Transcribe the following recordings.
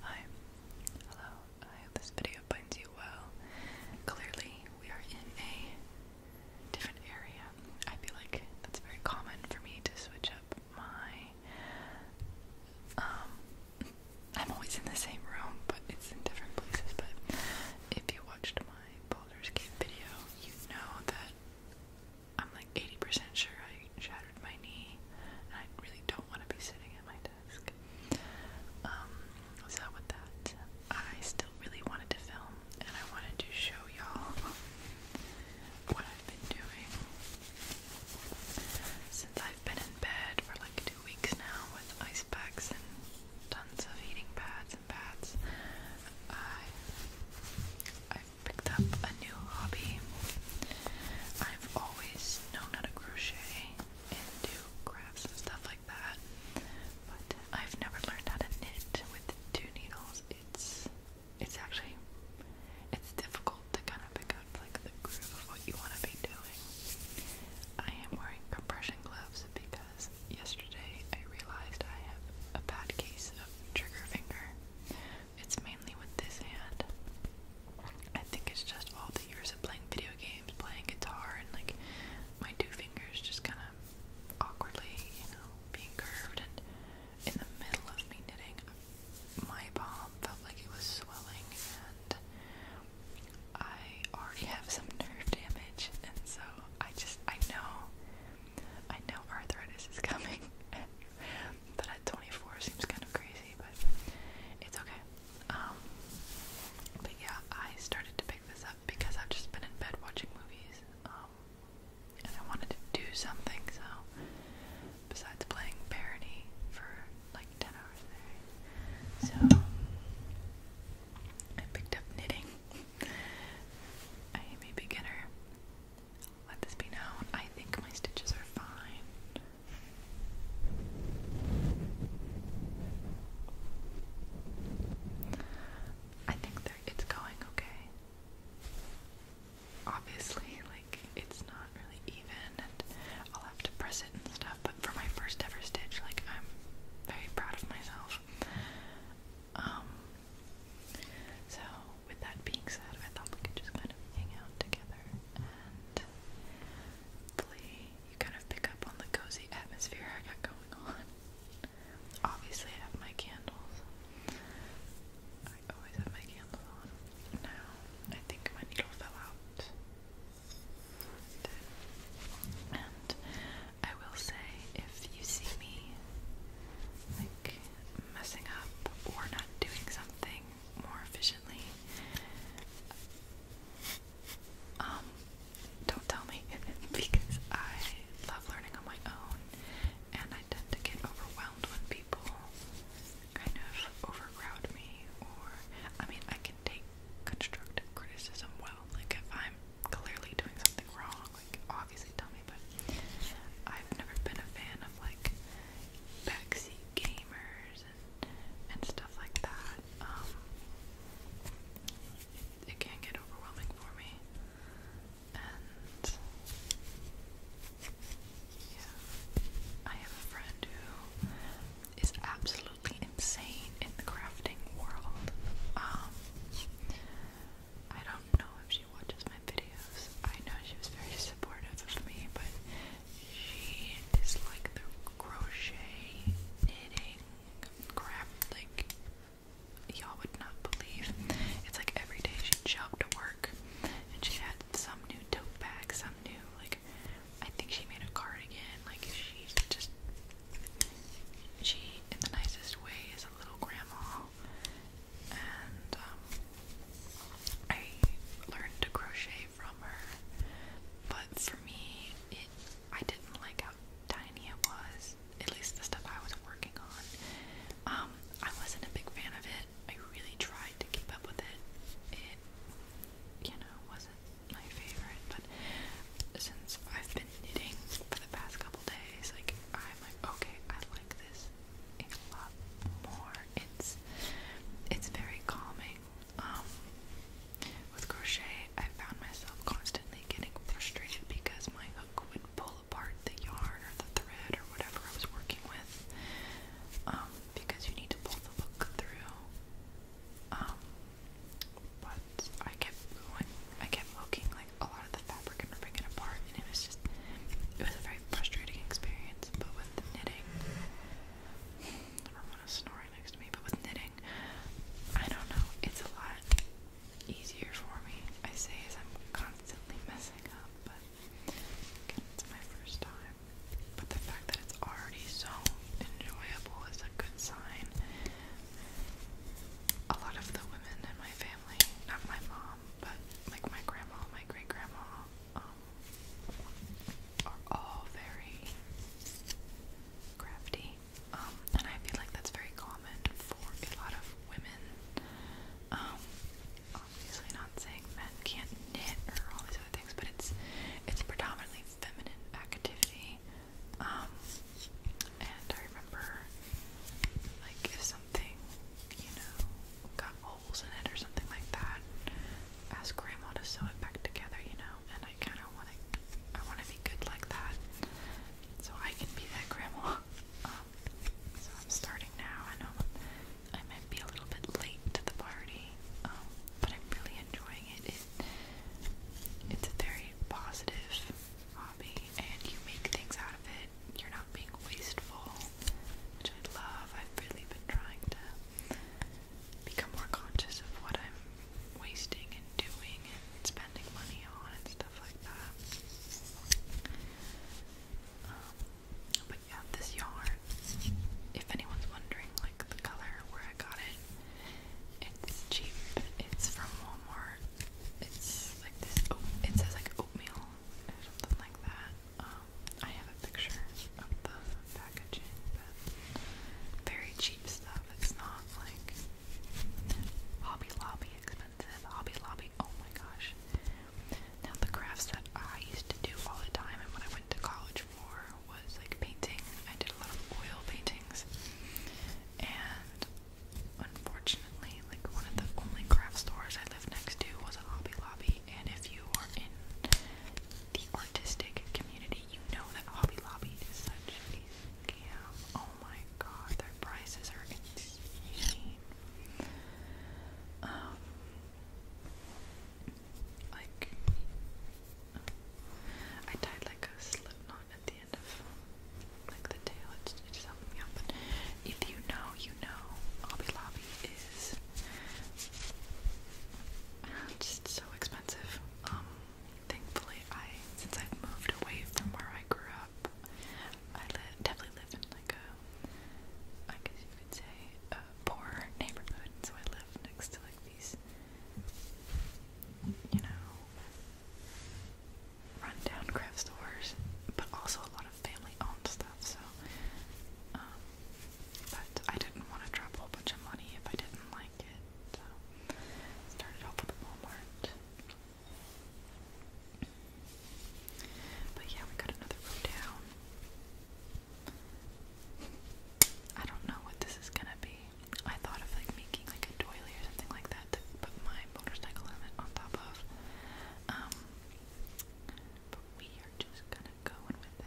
Hi, hello. I hope this video finds you well. Clearly, we are in a different area. I feel like that's very common for me to switch up my. Um, I'm always in the same room, but it's in different places. But if you watched my boulders Gate video, you know that I'm like 80% sure I shattered my knee, and I really don't want to be sitting at my desk. Um, so that, I still really wanted to film, and I wanted to show y'all what I've been doing since I've been in bed for like two weeks now with ice packs and tons of heating pads and pads. I i picked up a new hobby. I've always is how to crochet and do crafts and stuff like that. But I've never learned how to knit with two needles. It's it's actually it's difficult to kind of pick up like the groove of what you want to be doing. I am wearing compression gloves because yesterday I realized I have a bad case of trigger finger. It's mainly with this hand. I think it's just all the years of playing video games, playing guitar, and like my two fingers just kind of awkwardly, you know, being curved. And in the middle of me knitting, my palm felt like it was swelling, and I already have some nerve damage, and so I just I know I know arthritis is coming. But at 24 seems kind of crazy, but it's okay. Um, but yeah, I started to pick this up because I've just been in bed watching movies, um, and I wanted to do something, so besides playing parody for like 10 hours a day. So I picked up knitting. I am a beginner. Let this be known. I think my stitches are fine. I think it's going okay. Obviously, like it's not really even, and I'll have to press it and stuff. But for my first ever stitch, like I'm very proud of myself. Um. So with that being said, I thought we could just kind of hang out together and Hopefully, you kind of pick up on the cozy atmosphere I got going on. Obviously, I have my candles. I always have my candles on. Now, I think my needle fell out. And I will say, if you see me like messing up or not doing something more efficiently. Um, don't tell me because I love learning on my own and I tend to get overwhelmed when people kind of overcrowd me or I mean I can take constructive criticism well. Like if I'm clearly doing something wrong, like obviously tell me but I've never been a fan of like backseat gamers and, stuff like that, um, it, can get overwhelming for me. And yeah, I have a friend who is absolutely insane in the crafting world. Um, I don't know if she watches my videos. I know she was very supportive of me, but she is the crochet knitting crap, like y'all would not believe. It's like every day she'd to work and she had some new tote bag, some new like I think she made a cardigan. Like she's just she in the nicest way is a little grandma and um I learned to crochet from her. But for me, it I didn't like how tiny it was. At least the stuff I was working on. Um, I wasn't a big fan of it. I really tried to keep up with it. It, you know, wasn't my favorite. But since I've been knitting for the past couple days, like I'm like, okay, I like this a lot more. It's it's very calming. Um, with crochet, I found myself constantly getting frustrated because my hook would pull apart the yarn or the thread or whatever I was working with. Um, because you need to pull the hook through. Um, but I kept I kept hooking like a lot of the fabric and ripping it apart, and it was just, it was a very frustrating experience. But with knitting, I don't want to snore next to me, but with knitting, I don't know, it's a lot easier for me. I say as I'm constantly messing up, but it's my first time. But the fact that it's already so enjoyable is a good sign. A lot of the women in my family, not my mom, but like my grandma, my great grandma, um, are all very crafty. Um, and I feel like that's very common for a lot of women. Um, obviously not saying men can't knit or all these other things, but it's it's predominantly feminine activity. Um, and I remember like if something, you know, got holes in it or something like that. Ask grandma to sew it back together, you know, and I kind of want to, I want to be good like that, so I can be that grandma. Um, so I'm starting now. I know I might be a little bit late to the party, um, but I'm really enjoying it. it. It's a very positive hobby, and you make things out of it. You're not being wasteful, which I love. I've really been trying to become more conscious of what I'm wasting and doing and spending money on and stuff like that. Um, but yeah, this yarn, if anyone's wondering, like the color where I got it, it's cheap. It's from Walmart. It's like this. Oh, it says like oatmeal or something like that. Um, I have a picture of the packaging, but very cheap stuff. It's not like Hobby Lobby expensive. Hobby Lobby, oh my gosh. Now, the crafts that I used to do all the time and when I went to college for was like painting. I did a lot of oil paintings, and unfortunately, like one of the only craft stores I lived next to was a Hobby Lobby. And if you are in the artistic community. You know that Hobby Lobby is such a scam. Oh my god, their prices are insane. Um, like, I tied like a slip knot at the end of like the tail. It's, it's helping me out. But if you know, you know, Hobby Lobby is just so expensive. Um, thankfully, I since I've moved away from where I grew up, I live definitely live in like a, I guess you could say, a poor neighborhood. So I live next to like these, you know, rundown craft stores, but also a lot of family-owned stuff. So. Um, but I didn't want to drop a whole bunch of money if I didn't like it, so started off with Walmart. But yeah, we got another row down. I don't know what this is gonna be. I thought of like making like a doily or something like that to put my motorcycle helmet on top of. Um, but we are just gonna go in with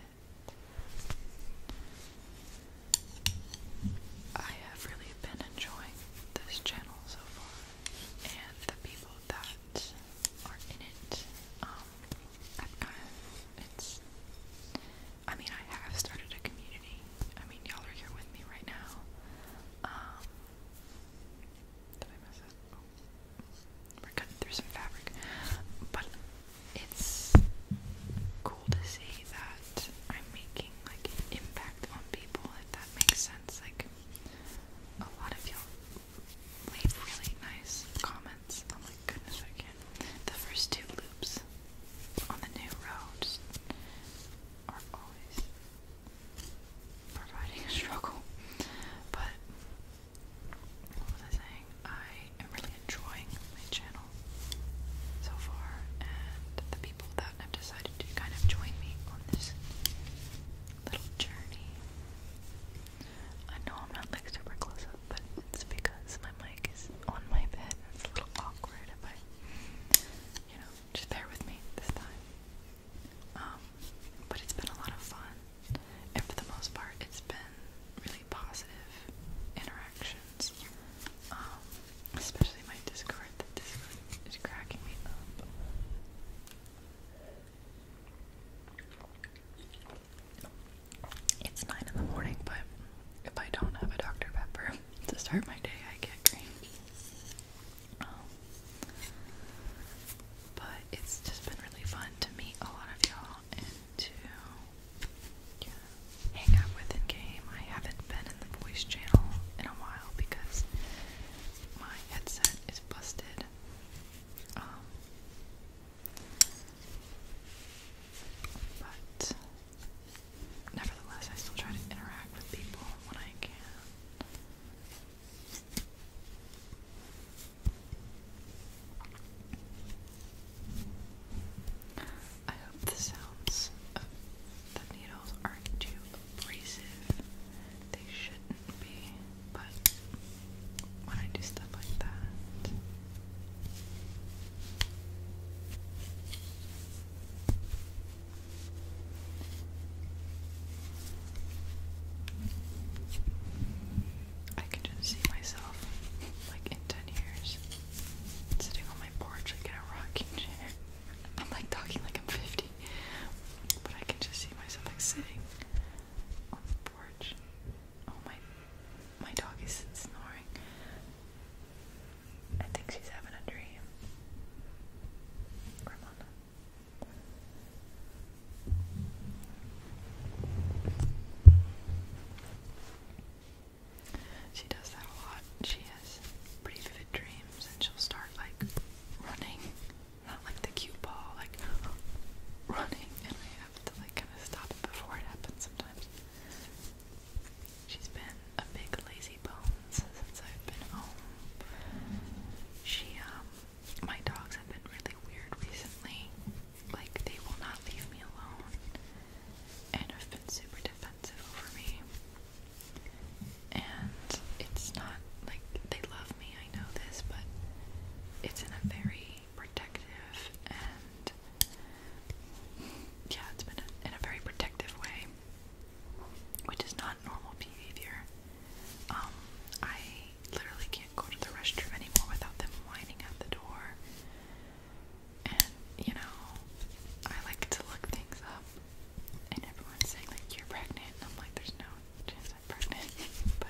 I have really been enjoying this channel so far, and the people that are in it. Um, it's, I mean, I have started a community. I mean, y'all are here with me right now. Um, did I miss it? Oh. We're cutting through some fabric. But it's cool to see that I'm making like impact on people, if that makes sense. Like a lot of y'all leave really nice comments. Oh my goodness, I The first two loops on the new road are always providing a struggle. But what was I saying? I am really enjoying my channel so far, and the people that have decided to kind of join me on this little journey. I know I'm not like super close up, but it's because my mic is on my bed. It's a little awkward if I, you know, just bear with me this time. Um, but it's been a lot of fun and for the most part, it's been really positive interactions. Um, especially my Discord. The Discord is cracking me up. It's nine in the morning, but if I don't have a Dr. Pepper to start my day, I get green. Um, but it's just been really fun to meet a lot of y'all into hang out with in game. I haven't been in the voice channel in a while because my headset is busted. Um, but nevertheless, I still try to interact with people when I can. I hope the sounds of needles aren't too abrasive. They shouldn't be, but when I do stuff like that. I can just see myself, like in 10 years, sitting on my porch, like in a rocking chair. I'm like talking like I'm 50, but I can just see myself like sitting on the porch. Oh my, my dog is snoring. I think she's having a dream. Ramona. She does that a lot. She has pretty vivid dreams and she'll start like running. Not like the cute ball, like running and I have to like kinda stop it before it happens sometimes. She's been a big lazy bones since I've been home. She um my dogs have been really weird recently. Like, they will not leave me alone and have been super defensive over me. And it's not like they love me, I know this, but it's in a very protective and yeah, it's been in a very protective way, which is not normal behavior. Um, I literally go to the restroom anymore without them whining at the door. And, you know, I like to look things up. And everyone's saying, like, you're pregnant. And I'm like, there's no chance I'm pregnant. but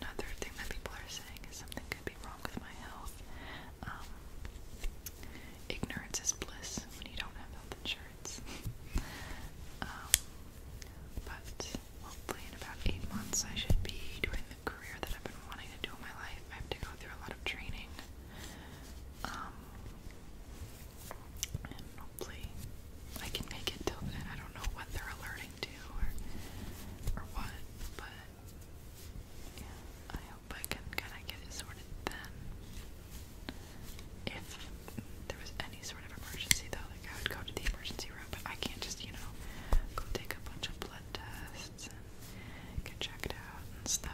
another thing that people are saying is something could be wrong with my health. Um, ignorance is bliss when you don't have health insurance. Um, but hopefully in about eight months I should be doing the career that I've been wanting to do in my life. I have to go through a lot of training. Um, hopefully I can make it till then. I don't know what they're alerting to or, or what, but I hope I can kind of get it sorted then. If there was any sort sort of emergency though, like I would go to the emergency room, but I can't just, you know, go take a bunch of blood tests and get checked out and stuff.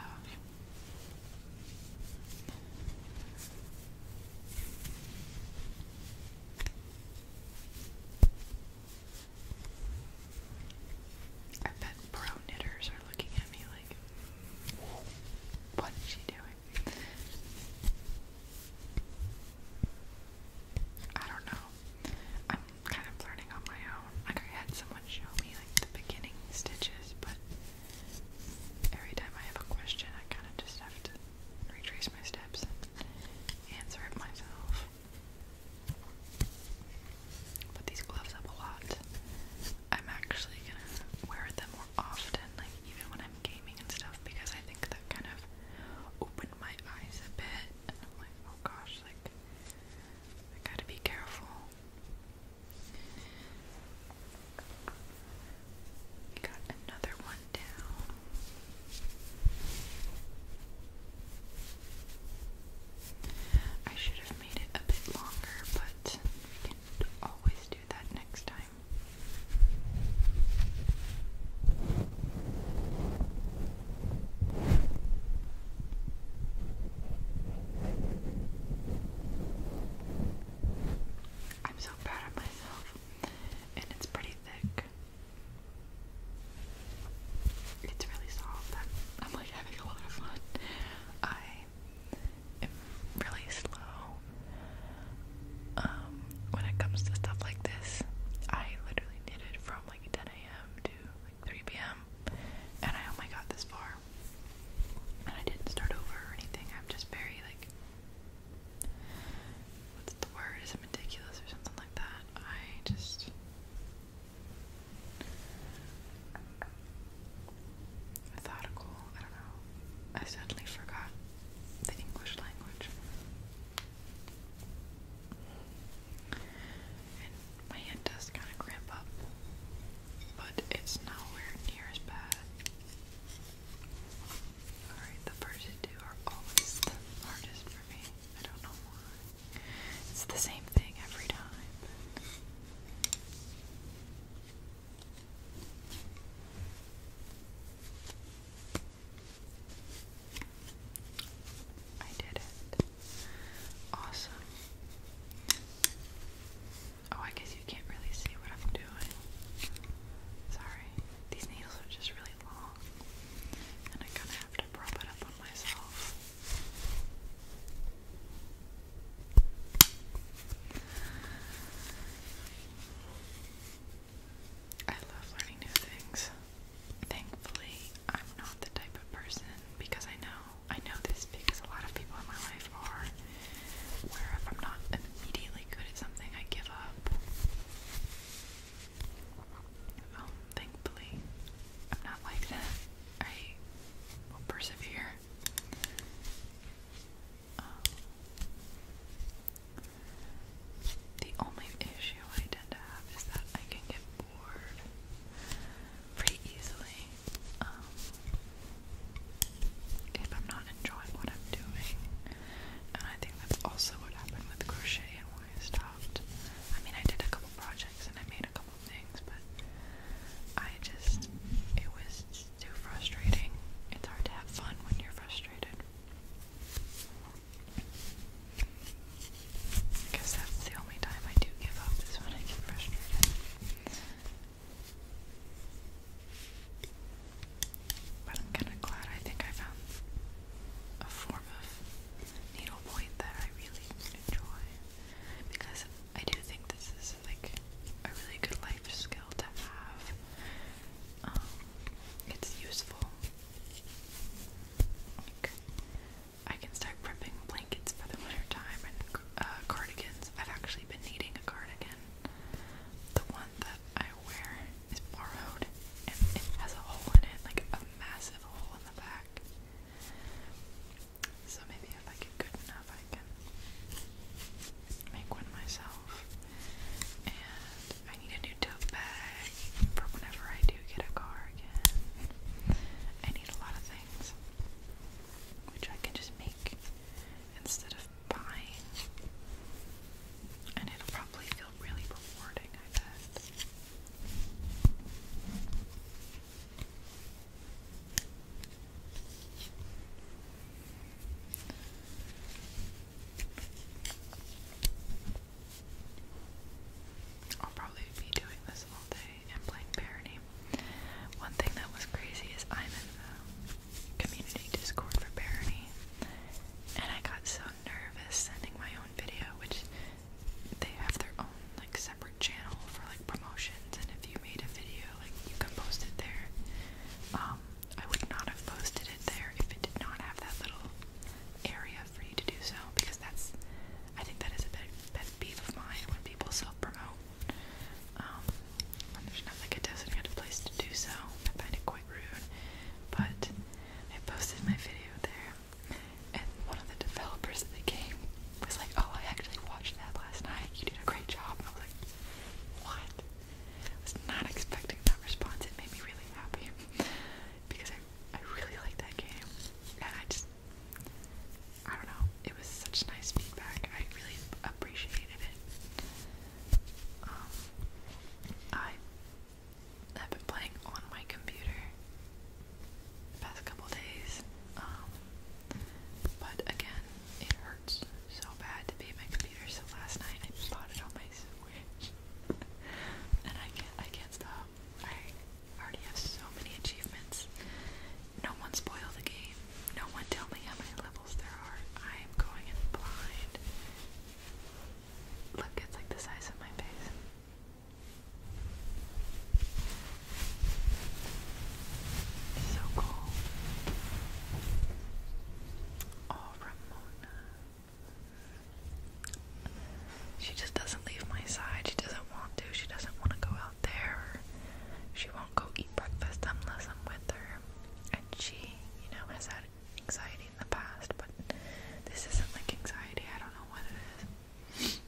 I bet pro knitters are looking at me like, what is she doing? I don't know. I'm kind of learning on my own. Like I had someone show me like the beginning stitches, but every time I have a question, I kind of just have to retrace my steps and answer it myself. Put these gloves up a lot. I'm actually gonna wear them more often, like even when I'm gaming and stuff, because I think that kind of open my eyes a bit, and I'm like, oh gosh, like I gotta be careful. Got another one down. I should have made it a bit longer, but we can always do that next time. I'm so bad at myself, and it's pretty thick. It's really soft. I'm like having a lot of fun. I am really slow. Um, when it comes to stuff like this, I literally did from like 10 a.m. to like 3 p.m. and I only oh got this far. And I didn't start over or anything. I'm just very like, what's the word? Is it meticulous or something like that? I just. Methodical, I don't know. I suddenly forgot the English language my hand does kind of cramp up, but it's nowhere near as bad. Alright, the first two are always the hardest for me. I don't know why. It's the same thing every time. I did it. Awesome. Oh, I guess you can't really see what I'm doing. Sorry. These needles are just really long. And I kind of have to prop it up on myself. I love learning new things. Thankfully, I'm not the type of person because I know I know this because a lot of people in my life are where if I'm not immediately good at something, I give up. Um, thankfully, I'm not like that. I will persevere. Um, the only issue I tend to have is that I can get bored pretty easily um, if I'm not enjoying what I'm doing. And I think that's also what happened with crochet and why I stopped. I mean, I did a couple projects and I made a couple things, but I just, it was too frustrating. It's hard to have fun when you're frustrated. Because that's the only time I do give up is when I get frustrated. But I'm kind of glad I think I found a form of needlepoint that I really enjoy. Because I do think this is like a really good life skill to have. Um, it's useful I can start prepping blankets for the winter time and uh, cardigans. I've actually been needing a cardigan. The one that I wear is borrowed and it has a hole in it, like a massive hole in the back. So maybe if I get good enough, I can make one myself. And I need a new tote bag for whenever I do get a car again. I need a lot of things which I can just make instead of buying. And it'll probably feel really rewarding, I bet. I'll probably be doing this all day and playing parody. One thing that was crazy is I'm in the community Discord for parody, and I got so nervous sending my own video, which they have their own like separate channel for like promotions, and if you made a video, like you can post it there. Um, I would not have posted it there if it did not have that little area for you to do so because that's I think that is a bit pet of mine when people self-promote. Um, there's not like a designated place to do so. I find it quite rude. But I posted my video there and one of the developers of the game was like, Oh, I actually watched that last night. You did a great job and I was like, What? I was not expecting that response. It made me really happy because I, I really like that game, and I just I don't know. It was such nice feedback. I really appreciated it. Um, I I've been playing on my computer the past couple days, um, but again, it hurts so bad to be at my computer. So last night I bought it on my and I can't I can't stop. I already have so many achievements. No one spoil the game. No one tell me how many levels there are. I am going in blind. Look, it's like the size of my face. So cool. Oh, Ramona. She just doesn't leave my side. She doesn't want to. She doesn't want to go out there. She won't go eat breakfast unless I'm with her. And she, you know, has had anxiety in the past, but this isn't like anxiety. I don't know what it is.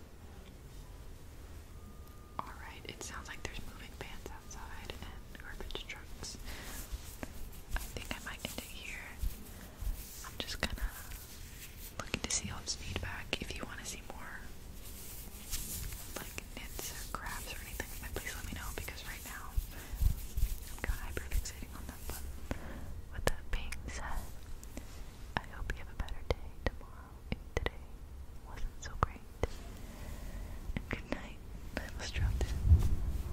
Alright, it sounds like there's moving vans outside and garbage trucks. I think I might end it here. I'm just kind of looking to see old feedback. If you want to see more like knits or crafts or anything please let me know because right now I'm kind of hyper on them. But with that being said, I hope you have a better day tomorrow today wasn't so great. good night. I was dropped in.